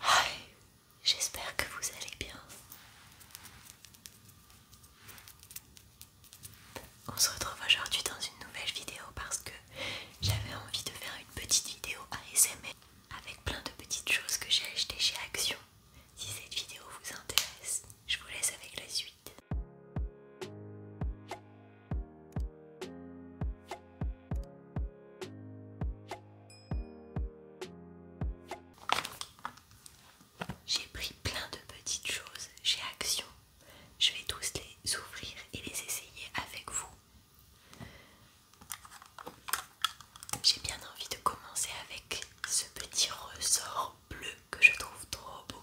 Hi, j'espère que vous allez bien. On se retrouve aujourd'hui dans une nouvelle vidéo parce que j'avais envie de faire une petite vidéo ASMR avec plein de petites choses que j'ai achetées chez Action. Si cette vidéo vous intéresse, je vous laisse avec la suite. J'ai pris plein de petites choses chez Action. Je vais tous les ouvrir et les essayer avec vous. J'ai bien envie de commencer avec ce petit ressort bleu que je trouve trop beau.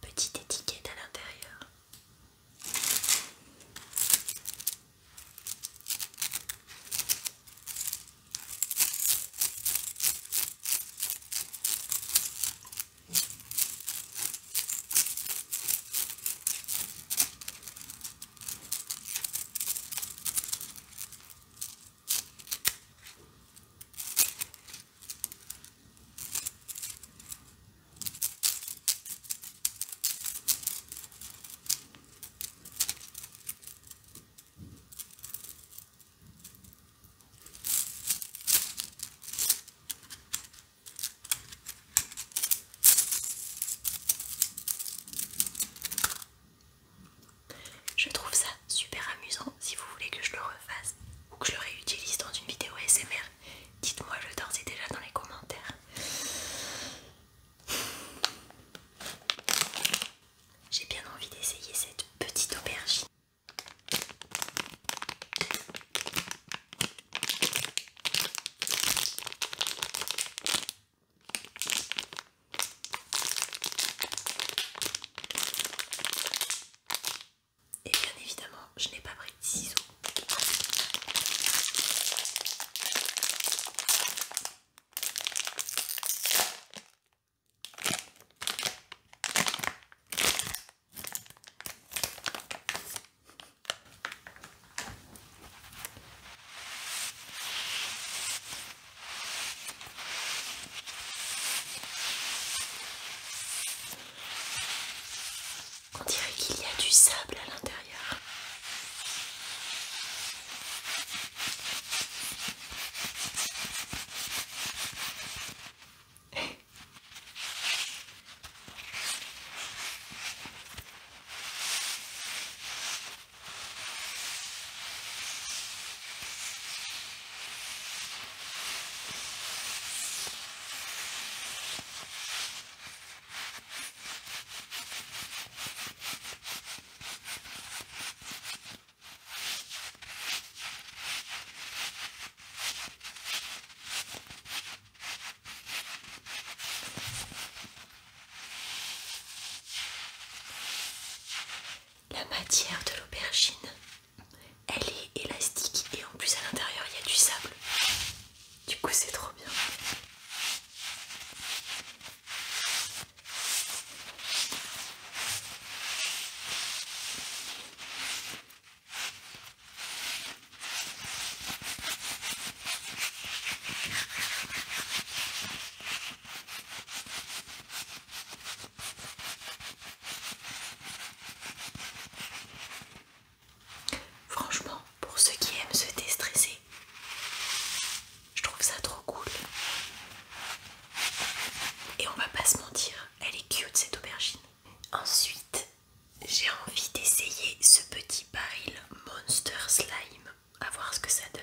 Petite étiquette à l'intérieur. Je trouve ça super amusant. Si vous voulez que je le refasse ou que je le réutilise dans une vidéo SMR, dites-moi le temps, déjà dans les commentaires. J'ai bien envie d'essayer cette petite aubergine. Et bien évidemment, je n'ai pas pris de ciseaux. On dirait qu'il y a du sable à l'intérieur. La matière de l'aubergine elle est élastique et en plus à l'intérieur il y a du sable. Du coup c'est trop bien. Franchement, pour ceux qui aiment se déstresser, je trouve ça trop cool. Et on va pas se mentir, elle est cute cette aubergine. Ensuite, j'ai envie d'essayer ce petit baril Monster Slime, à voir ce que ça donne.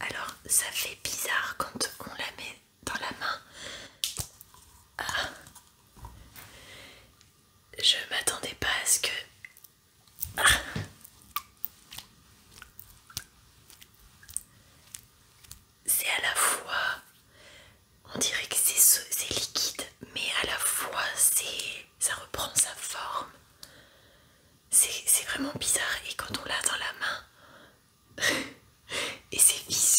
Alors ça fait bizarre quand on la met dans la main. Ah. Je m'attendais pas à ce que... Ah. C'est à la fois on dirait que c'est liquide, mais à la fois ça reprend sa forme. C'est vraiment bizarre et quand on l'a dans la main, et c'est visqueux.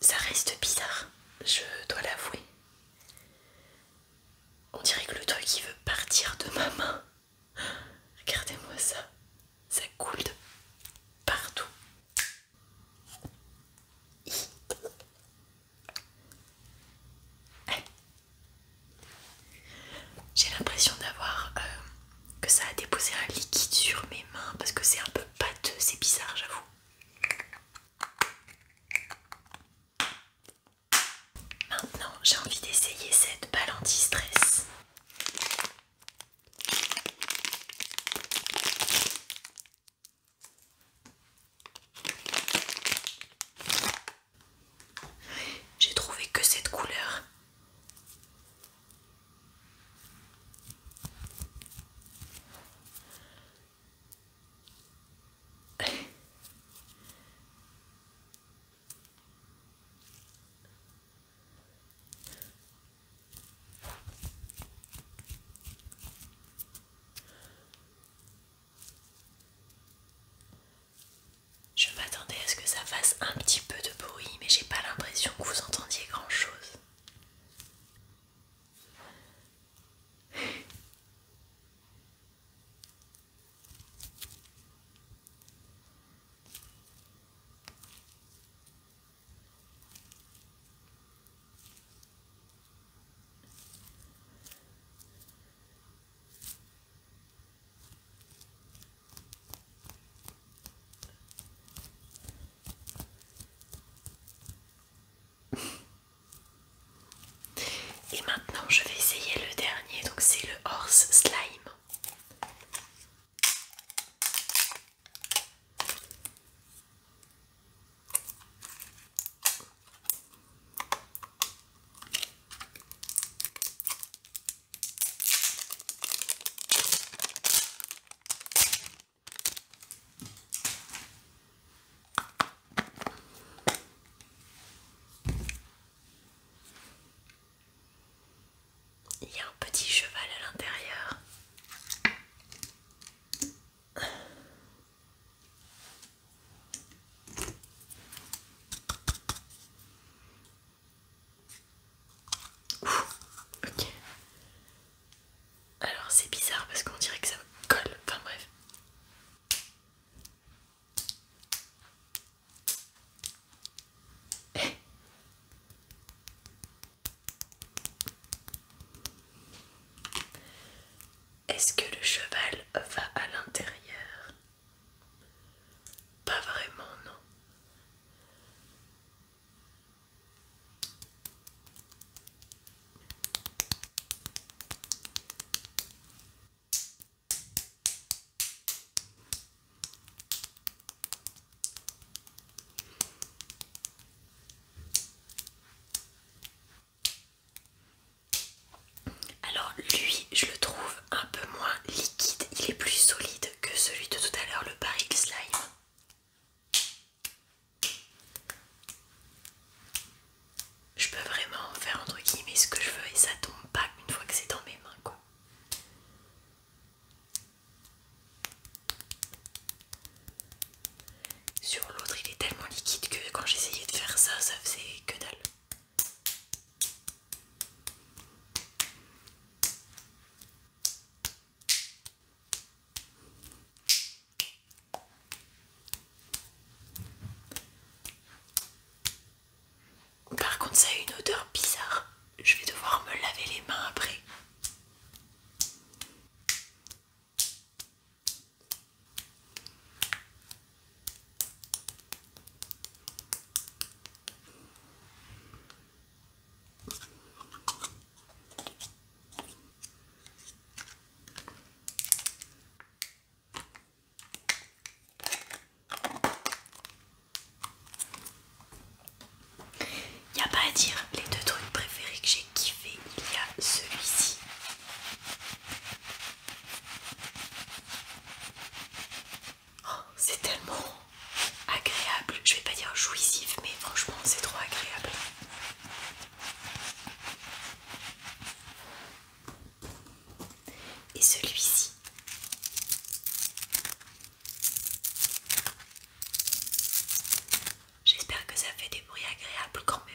Ça reste bizarre, je dois l'avouer. On dirait que le truc il veut partir de ma main. Regardez-moi ça, ça coule de partout. J'ai l'impression d'avoir euh, que ça a déposé un liquide sur mes mains parce que c'est un peu pâteux, c'est bizarre, j'avoue. Maintenant, j'ai envie d'essayer cette balle anti-stress. J'ai trouvé que cette couleur. Je m'attendais à ce que ça fasse un petit peu de bruit, mais j'ai pas l'impression que vous entendiez grand chose. Et maintenant, je vais essayer le dernier, donc c'est le horse slime. Il y a un petit cheval à l'intérieur. Alors c'est bizarre parce qu'on dirait que ça me colle. Enfin bref. Est-ce que le cheval va à l'intérieur Pas vraiment, non. Alors lui, je le trouve un peu moins liquide, il est plus solide que celui de tout à l'heure, le Paris slime. Je peux vraiment faire entre guillemets ce que je veux et ça tombe pas une fois que c'est dans mes mains quoi. Sur l'autre il est tellement liquide que quand j'essayais de faire ça ça faisait que dalle. Par contre, ça a une odeur bizarre. Je vais devoir me laver les mains après. Il n'y a pas à dire, les deux trucs préférés que j'ai kiffé, il y a celui-ci Oh, c'est tellement agréable. Je vais pas dire jouissif, mais franchement, c'est trop agréable. Et celui-ci. J'espère que ça fait des bruits agréables quand même.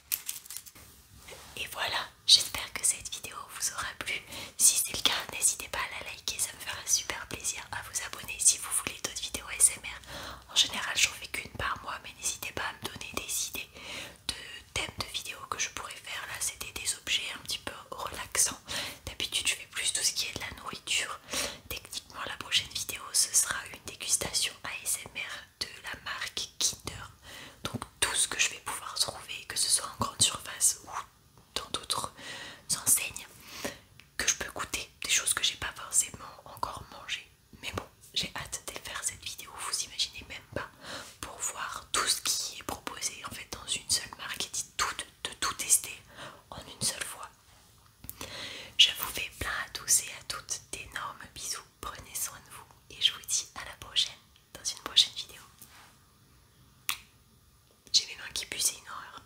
Et voilà, j'espère que cette vidéo vous aura plu. Si c'est le cas, n'hésitez pas à la liker, ça me fera super plaisir. À vous abonner si vous voulez d'autres vidéos ASMR. En général, j'en fais qu'une par mois, mais n'hésitez pas à me donner des idées de thèmes de vidéos que je pourrais faire. Là, c'était des objets un petit peu relaxants. D'habitude, je fais plus tout ce qui est de la nourriture. Techniquement, la prochaine vidéo, ce sera une dégustation ASMR de la marque Kinder. Donc tout ce que je vais pouvoir trouver, que ce soit en grande surface ou dans d'autres enseignes, que je peux goûter, des choses que j'ai pas forcément encore mangées. Mais bon, j'ai hâte de faire cette vidéo, vous imaginez même pas, pour voir tout ce qui est proposé en fait dans une seule marque et tout, de tout tester en une seule fois. Je vous fais plein à tous et à toutes d'énormes bisous prenez soin de vous et je vous dis à la prochaine dans une prochaine vidéo. J'ai mes mains qui puissent, une horreur.